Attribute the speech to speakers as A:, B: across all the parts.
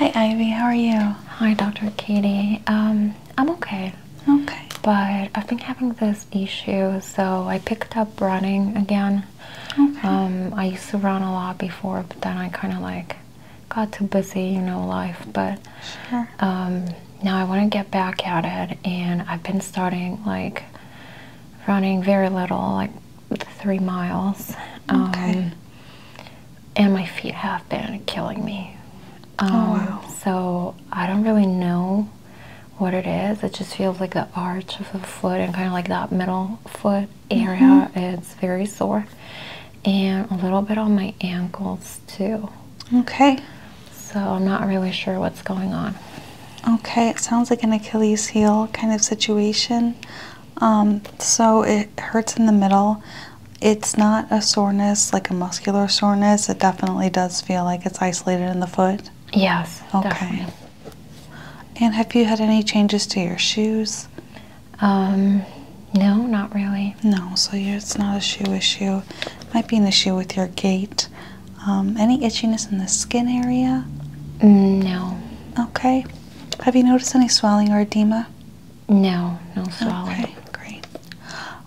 A: Hi Ivy, how are you? Hi Dr. Katie. Um, I'm okay. Okay. But I've been having this issue, so I picked up running again. Okay. Um, I used to run a lot before, but then I kind of like got too busy, you know, life. But sure. Um, now I want to get back at it, and I've been starting like running very little, like three miles. Um, and my feet have been killing me. oh, um, So I don't really know what it is. It just feels like the arch of the foot and kind of like that middle foot area. Mm-hmm. It's very sore and a little bit on my ankles too. Okay. So I'm not really
B: sure what's going on. Okay, it sounds like an Achilles heel kind of situation. Um, so it hurts in the middle. It's not a soreness, like a muscular soreness. It definitely does feel like it's isolated in the foot. Yes. Okay. And have you had any changes to your shoes? Um, no, not really. No, so it's not a shoe issue. Might be an issue with your gait. Um, any itchiness in the skin area? No. Okay. Have you noticed any swelling or edema? No, no swelling.
A: Okay, great.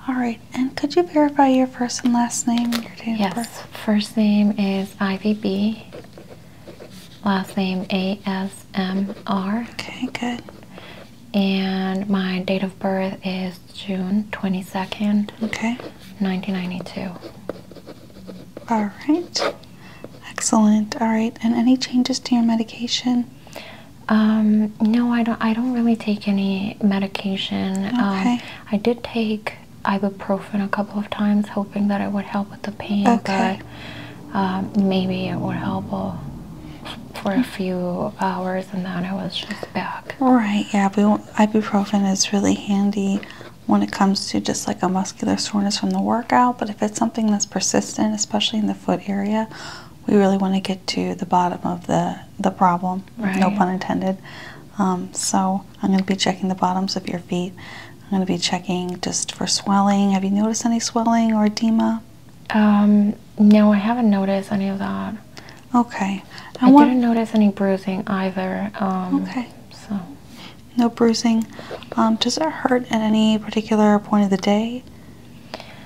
B: All right, and could you verify your first and last name? Your yes,
A: first name is IVB, last name ASMR. Okay, good and my date of birth is June 22nd. Okay. 1992. All right. Excellent. All right. And any changes to your medication? Um, no, I don't. I don't really take any medication. Um, okay. Um, I did take ibuprofen a couple of times, hoping that it would help with the pain. Okay. But um, maybe it would help uh, for a few hours worse than that. I was just back.
B: All right. Yeah. Ibuprofen is really handy when it comes to just like a muscular soreness from the workout. But if it's something that's persistent, especially in the foot area, we really want to get to the bottom of the the problem. No pun intended. Um, so I'm going to be checking the bottoms of your feet. I'm going to be checking just for swelling. Have you noticed any swelling or edema? Um,
A: no, I haven't noticed any of that. Okay. I didn't notice any bruising either. Um, okay. So. No bruising. Um, does it hurt at any particular point of the day?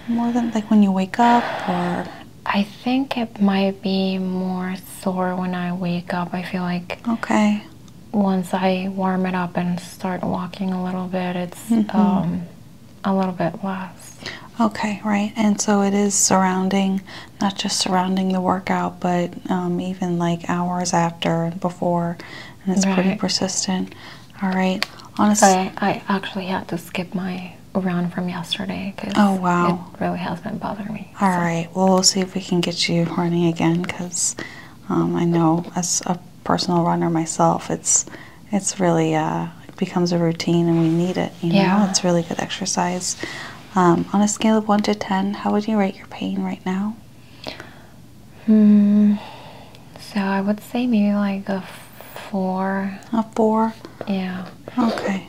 A: More than like when you wake up or? I think it might be more sore when I wake up. I feel like. Okay. Once I warm it up and start walking a little bit, it's. Mm-hmm. um, a little bit less. Okay, right. And so it is surrounding,
B: not just surrounding the workout, but um, even like hours after and before.
A: And it's pretty persistent. All right. Honestly, I actually had to skip my around from yesterday because oh wow it really has been bothering me All right.
B: well we'll see if we can get you running again because um, i know as a personal runner myself it's it's really uh, becomes a routine and we need it. You know, it's really good exercise. Um, on a scale of one to ten, how would you rate your pain right now?
A: Hmm. So I would say maybe like a four. A four. Yeah. Okay.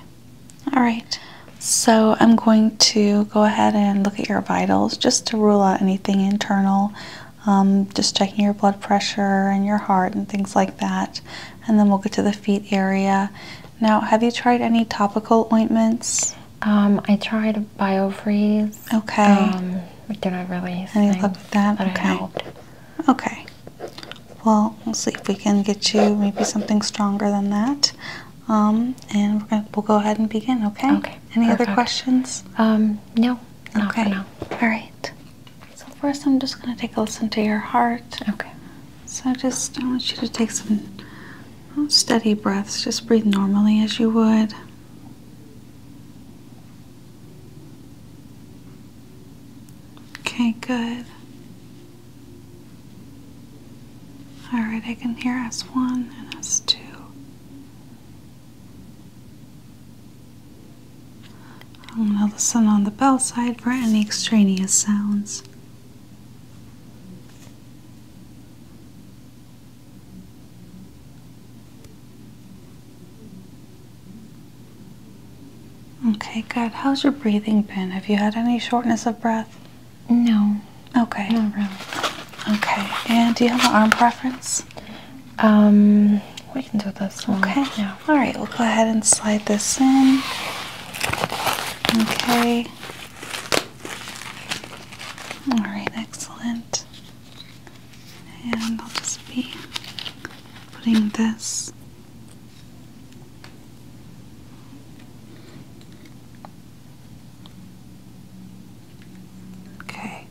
A: All right. So
B: I'm going to go ahead and look at your vitals just to rule out anything internal. Um, just checking your blood pressure and your heart and things like that and then we'll get to the feet area. Now, have you tried any topical ointments? Um, I tried Biofreeze. Okay. Um, it didn't really. Any luck with that? okay. Okay. Well, we'll see if we can get you maybe something stronger than that. Um, and we're gonna, we'll go ahead and begin. Okay. Okay. Any other questions? Um, no. okay. All right. So first I'm just gonna take a listen to your heart. Okay. So just I want you to take some oh, steady breaths. Just breathe normally as you would. Okay, good. All right, I can hear S1 and S2 i am going to listen on the bell side for any extraneous sounds. Okay, good. How's your breathing been? Have you had any shortness of breath? No. Okay. Not really. Okay. And do you have an arm preference? Um, we can do this one. Okay. All right. We'll go ahead and slide this in. Okay. All right. Excellent. And I'll just be putting this. Okay.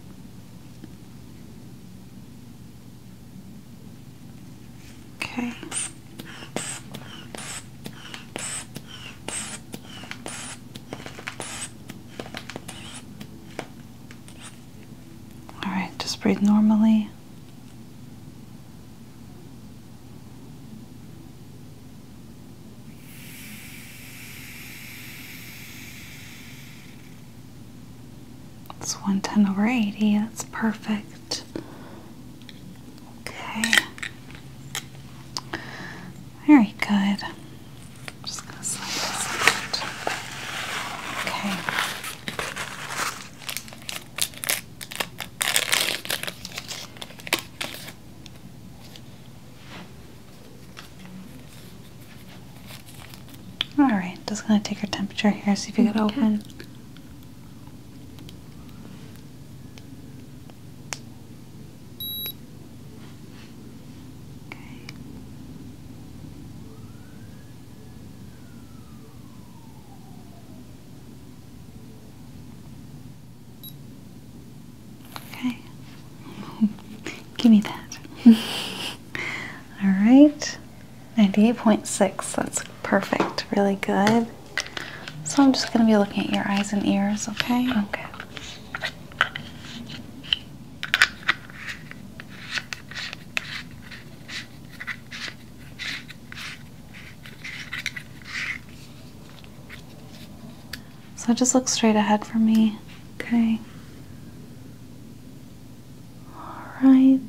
B: Okay. All right, just breathe normally. It's 110 over 80. That's perfect. Okay. Very good. just going to slide this Okay. All right, just gonna take your temperature here, see if you can open. Okay. Okay. Give me that. All right. 98.6, that's perfect, really good. So I'm just going to be looking at your eyes and ears, okay? Okay. So just look straight ahead for me, okay? All right.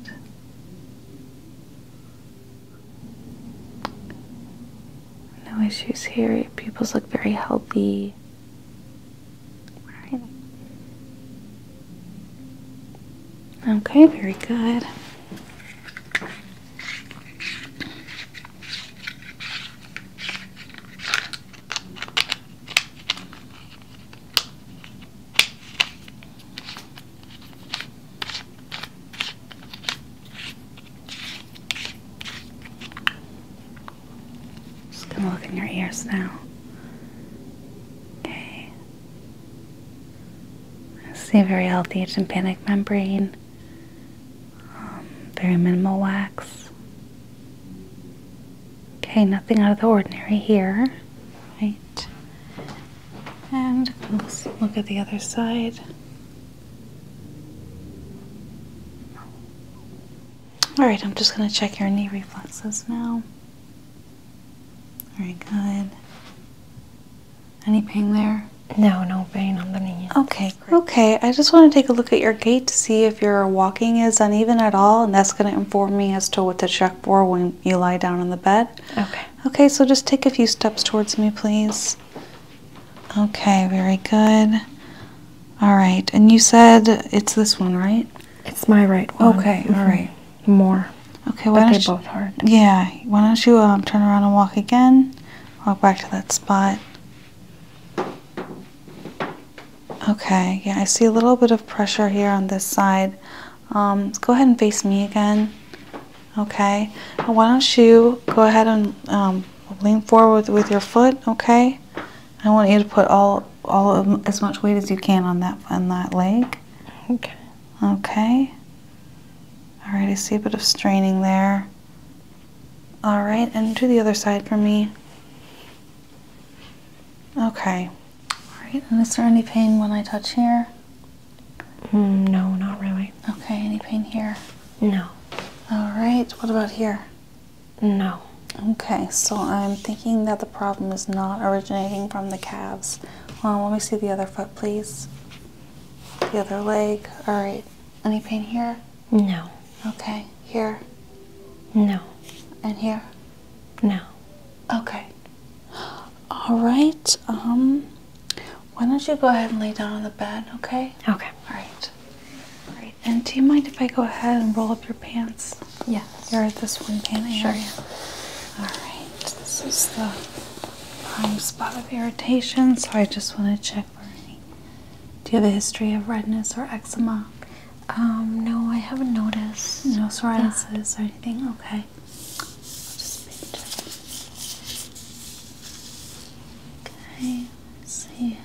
B: No issues here. Your pupils look very healthy. Okay, very good. Just gonna look in your ears now. Okay. see very healthy tympanic membrane. Um, very minimal wax. Okay, nothing out of the ordinary here. Right. And let's look at the other side. All right, I'm just going to check your knee reflexes now. Very good. Any pain there? No, no pain on the knee. Okay, great. Okay, I just want to take a look at your gait see if your walking is uneven at all, and that's going to inform me as to what to check for when you lie down on the bed. Okay. Okay, so just take a few steps towards me, please. Okay, very good. All right, and you said it's this one, right? It's my right one. Okay, all mm-hmm. right. More. Okay, why don't they both hurt. Yeah, why don't you um, turn around and walk again? Walk back to that spot. Okay, yeah, I see a little bit of pressure here on this side. Um, go ahead and face me again. Okay. why don't you go ahead and um, lean forward with your foot? Okay. I want you to put all all of, as much weight as you can on that on that leg. Okay. Okay. All right. I see a bit of straining there. All right, and to the other side for me. Okay. Alright, and is there any pain when I touch here? Mm, no, not really. Okay, any pain here? No. Alright, what about here? No. Okay, so I'm thinking that the problem is not originating from the calves. Um, let me see the other foot, please. The other leg. Alright, any pain here? No. Okay, here?
A: No. And here? No.
B: Okay. All right. Um, why don't you go ahead and lay down on the bed, okay? Okay. All right. All right. And do you mind if I go ahead and roll up your pants? Yeah. You're at this one pant sure. area. All right. This is the prime spot of irritation, so I just want to check for any. Do you have a history of redness or eczema? Um, no, I haven't noticed. No psoriasis yeah. or anything? Okay. I'll just Okay, see.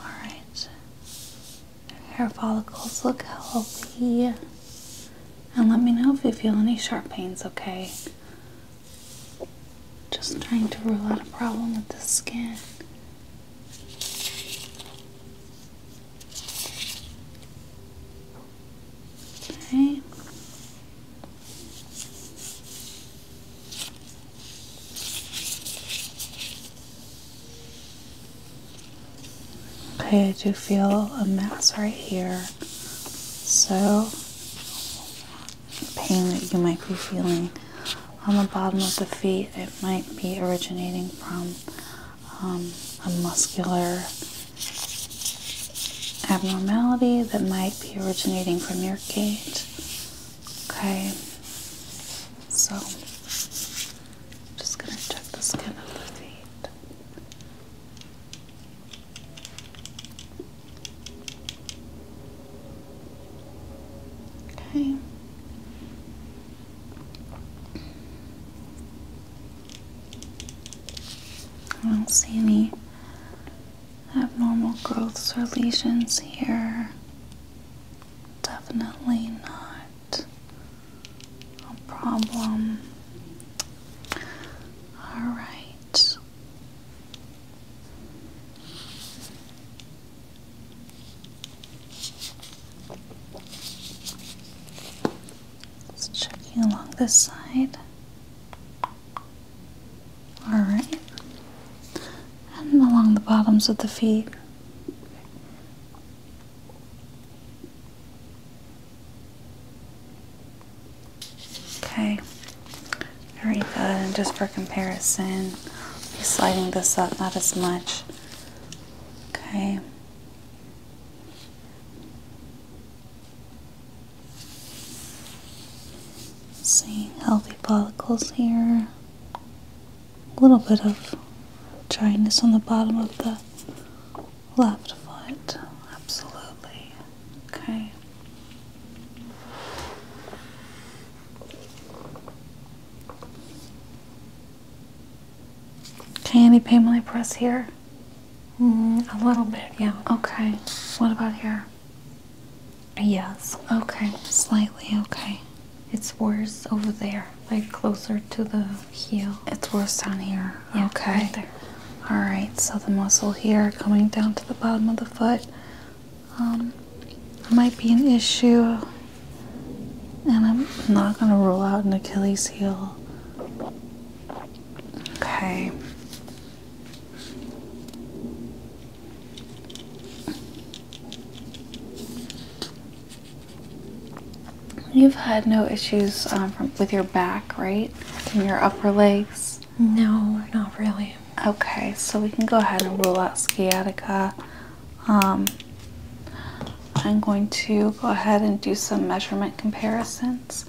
B: Alright. Hair follicles look healthy. And let me know if you feel any sharp pains, okay? Just trying to rule out a problem with the skin. Okay. Okay, I do feel a mass right here. So pain that you might be feeling on the bottom of the feet. It might be originating from um, a muscular abnormality that might be originating from your gait. Okay, so I'm just going to check the skin of the feet. Okay. I don't see any abnormal growths or lesions here. Definitely not a problem. All right. Just checking along this side. Alright. And along the bottoms of the feet. Okay, very good. And just for comparison, I'll sliding this up not as much. Okay. Seeing healthy follicles here. A little bit of dryness on the bottom of the left foot. Absolutely. Okay. Can any pay when I press here? Mm, a little bit, yeah. Okay. What about here? Yes. Okay, slightly, okay. It's worse over there, like closer to the heel. It's worse down here. okay. Alright, so the muscle here coming down to the bottom of the foot um, might be an issue. And I'm not going to roll out an Achilles heel. Okay. You've had no issues um, from, with your back, right? And your upper legs? No, not really. Okay, so we can go ahead and rule out sciatica. Um, I'm going to go ahead and do some measurement comparisons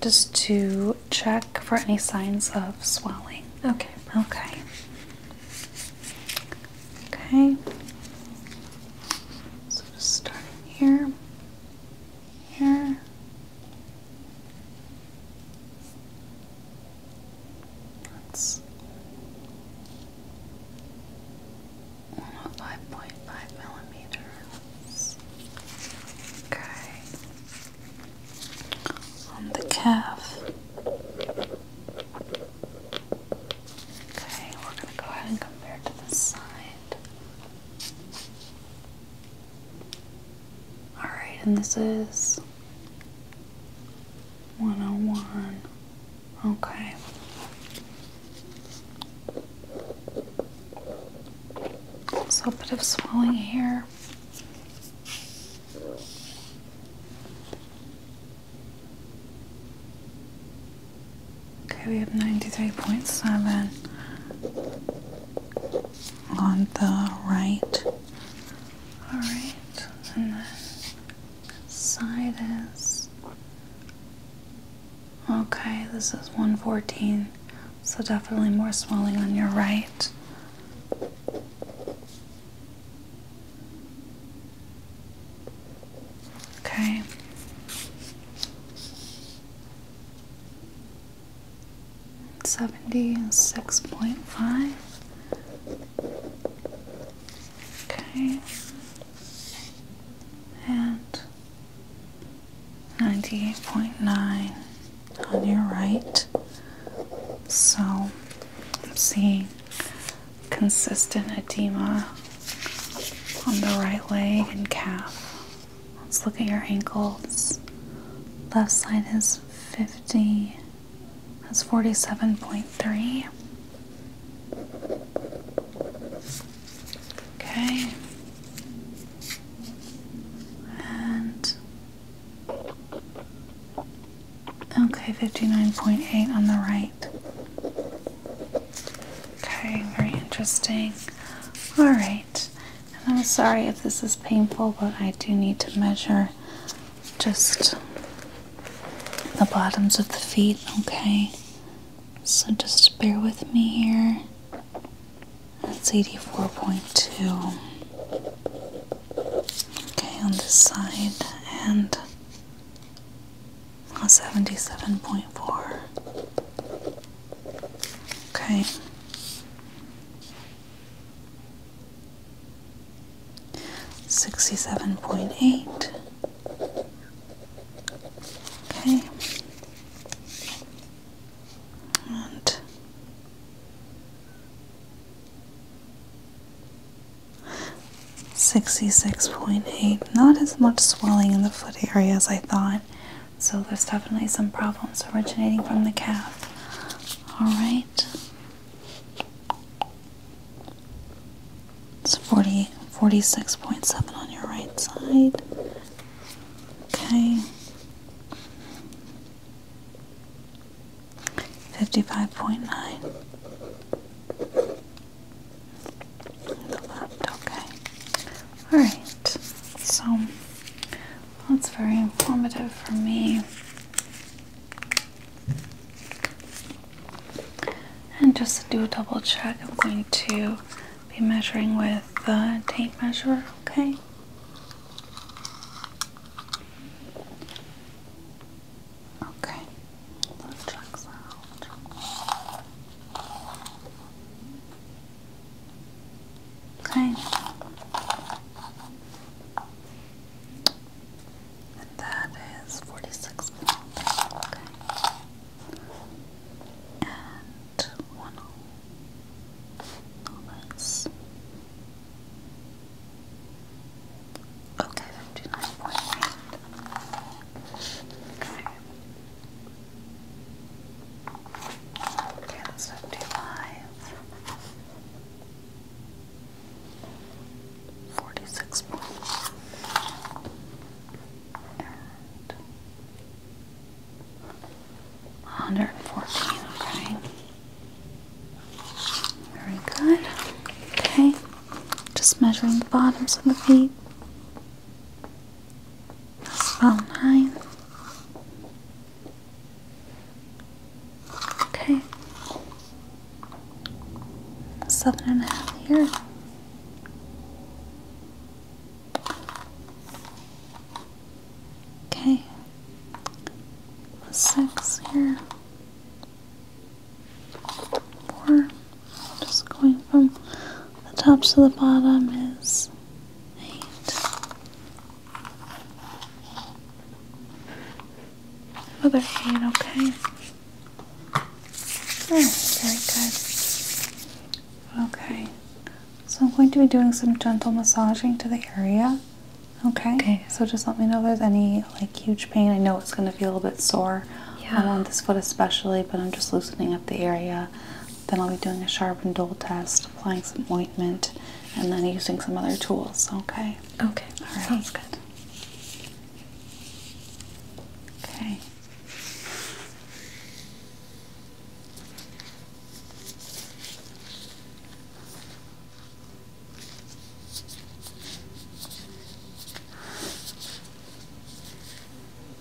B: just to check for any signs of swelling. Okay. Okay. Okay. So just starting here, here, that's one oh five point five millimeters. Okay. On the calf. Okay, we're gonna go ahead and compare to this side. Alright, and this is 101. Okay. So a bit of swelling here. Okay, we have 93.7 on the right. Alright, and this side is okay, this is 114, so definitely more swelling on your right. Okay. 76.5. Okay. And 98.9 on your right. So I'm seeing consistent edema on the right leg and calf. Let's look at your ankles. Left side is 50, that's 47.3. Okay. And okay, 59.8 on the right. Okay, very interesting. All right. And I'm sorry if this is painful, but I do need to measure just the bottoms of the feet, okay? So just bear with me here. That's 84.2. Okay, on this side, and 77.4. Okay. Sixty seven point eight. Okay. And Sixty six point eight. Not as much swelling in the foot area as I thought. So there's definitely some problems originating from the calf. All right. It's 40, 46.7 on your right side. Okay. 55.9. Left, okay. All right. So that's very informative for me. And just to do a double check, I'm going to be measuring with the tape measure, okay? Okay, let's out. Okay. And that is 46 Okay. And one all oh. this. Okay, 59.8. Counts up to okay. Very good. Okay. Just measuring the bottoms of the feet. That's about nine. Okay. Seven and a half here. Okay. Six here. Four. Just going from the top to the bottom is Eight. Another eight, okay. Oh, very good. Okay. So I'm going to be doing some gentle massaging to the area. Okay. Okay. So just let me know if there's any like huge pain. I know it's going to feel a little bit sore yeah. Um, on this foot especially, but I'm just loosening up the area then I'll be doing a sharp and dull test, applying some ointment, and then using some other tools. Okay. Okay. All right. Sounds good. Okay.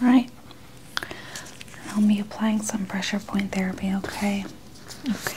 B: Right. I'll be applying some pressure point therapy, okay? Okay. Okay.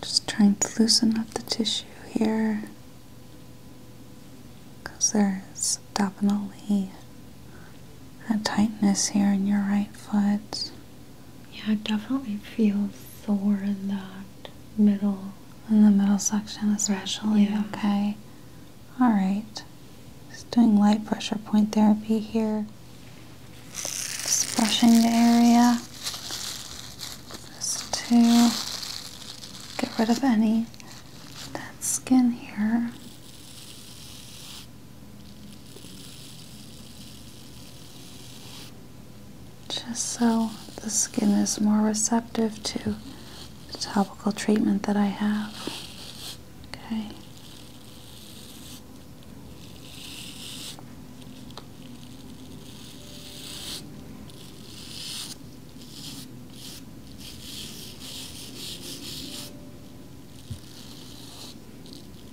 B: Just trying to loosen up the tissue here because there's definitely a tightness here in your right foot. Yeah, I definitely feel sore in that middle. In the middle section, especially. Yeah. Okay. All right. Just doing light pressure point therapy here. Just brushing the area. Just to get rid of any dead skin here just so the skin is more receptive to the topical treatment that I have. Okay.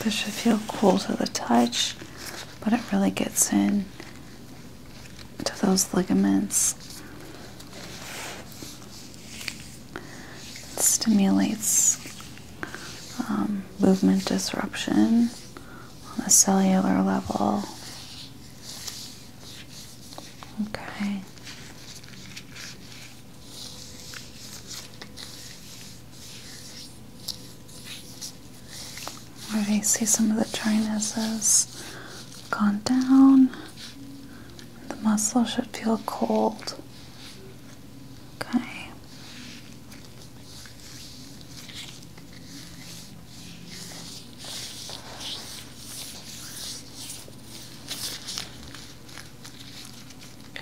B: This should feel cool to the touch, but it really gets in to those ligaments. It stimulates um, movement disruption on a cellular level. Okay. Already see some of the trinuses gone down. The muscle should feel cold. Okay.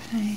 B: Okay.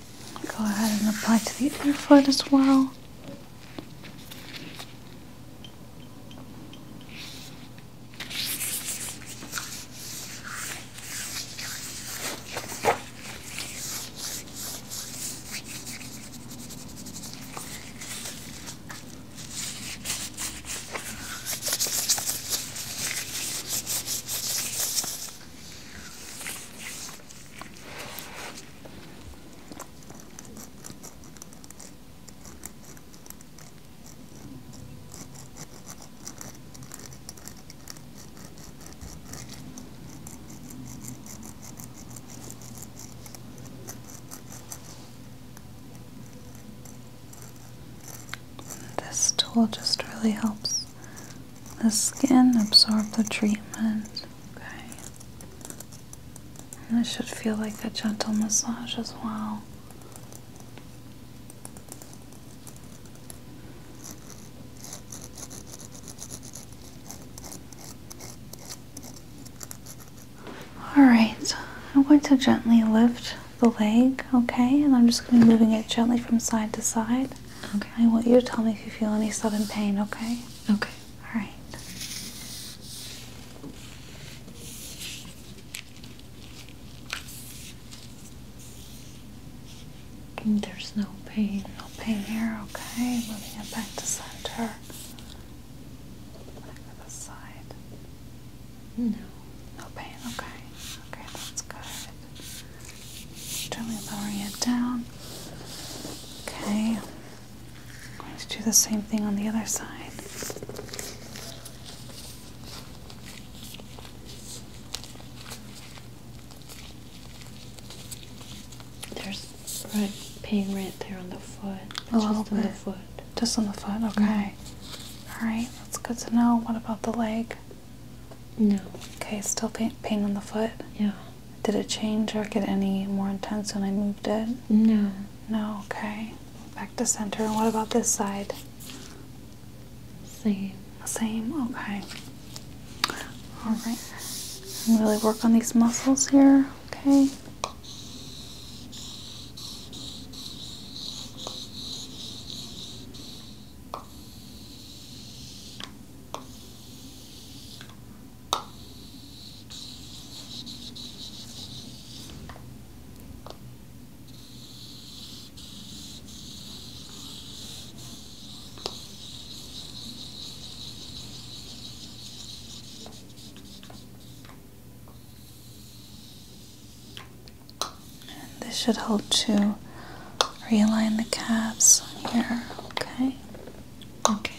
B: Go ahead and apply to the other foot as well. This tool just really helps the skin absorb the treatment Okay. And this should feel like a gentle massage as well. Alright, I'm going to gently lift the leg, okay? And I'm just going to be moving it gently from side to side. Okay. I want you to tell me if you feel any sudden pain, okay? Okay, all right.
A: Mm, there's no pain, no pain here, okay? Let me get back to center.
B: the side.
A: No. No pain, okay. Okay,
B: that's good. Gently lowering it down. Okay. I'm going to do the same thing on the other side.
A: There's right pain right there on the foot. A little just bit. on the foot.
B: Just on the foot, mm-hmm. okay. Alright, that's good to know. What about the leg? No. Okay, still pain, pain on the foot? Yeah. Did it change or get any more intense when I moved it? No. No, okay. Back to center. what about this side? Same. Same, okay. Alright. Really work on these muscles here, okay? this should help to realign the calves here, okay? Okay. Excellent.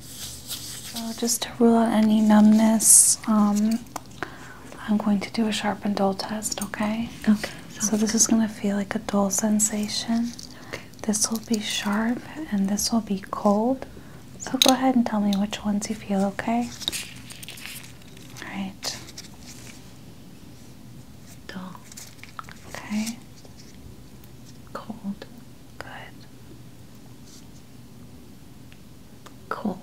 B: So just to rule out any numbness, um, I'm going to do a sharp and dull test, okay? Okay. So this is going to feel like a dull sensation. Okay. This will be sharp and this will be cold. So go ahead and tell me which ones you feel, okay? All right. Dull. Okay. Cold. Good
A: cold.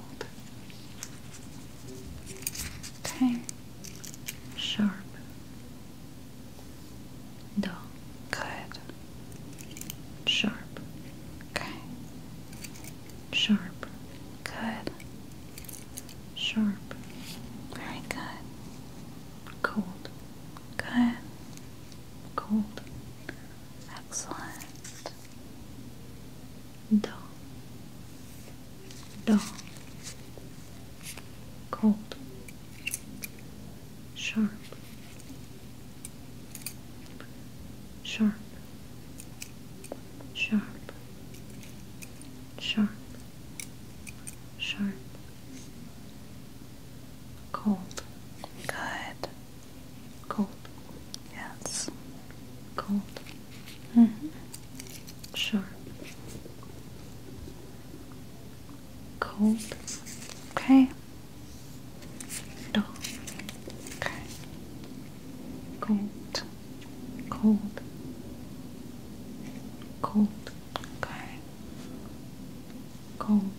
A: Okay. Sharp. Dull. Good. Sharp. Okay. Sharp. Good. Sharp. Very good. Cold.
B: Good. Cold. Excellent.
A: Do. Do. Cold. Sharp. Sharp. Sharp. Sharp. Sharp. Cold. Good. Cold.
B: Yes. Cold. -hmm. Sure. Cold. Okay. Dull. Okay. Cold. Cold. Cold. Okay. Cold.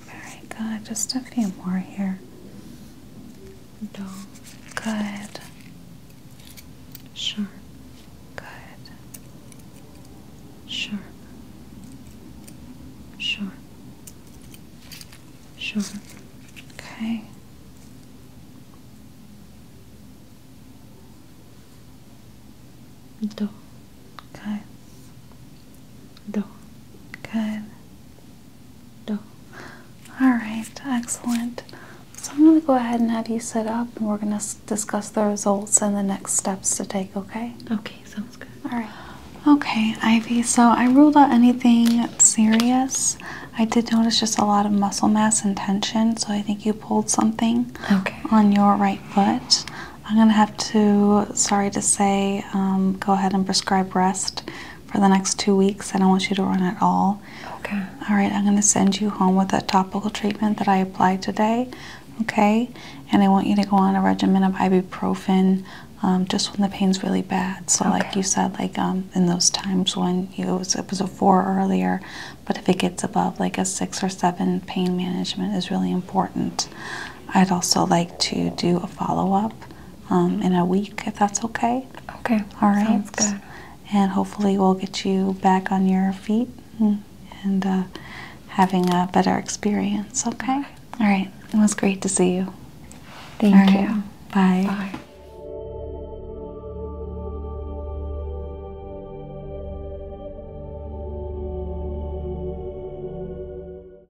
B: Very good. Just a few
A: more here. Dull. Good. Sharp. Good. Sharp. Sharp. Sharp.
B: Okay. Do. Good. Do. Good. No. Alright, excellent. So I'm going to go ahead and have you set up and we're going to discuss the results and the next steps to take, okay? Okay, sounds good. Alright. Okay, Ivy, so I ruled out anything serious. I did notice just a lot of muscle mass and tension, so I think you pulled something okay. on your right foot. I'm going to have to, sorry to say, um, go ahead and prescribe rest for the next two weeks. I don't want you to run at all. Okay. All right, I'm going to send you home with that topical treatment that I applied today. Okay, and I want you to go on a regimen of ibuprofen um, just when the pain's really bad. So, like you said, like um, in those times when it was a four earlier, but if it gets above like a six or seven, pain management is really important. I'd also like to do a follow up um, in a week, if that's okay. Okay. All right. Sounds good. And hopefully, we'll get you back on your feet and uh, having a better experience. Okay? All right. It was great to see you. Thank you. Bye. Bye.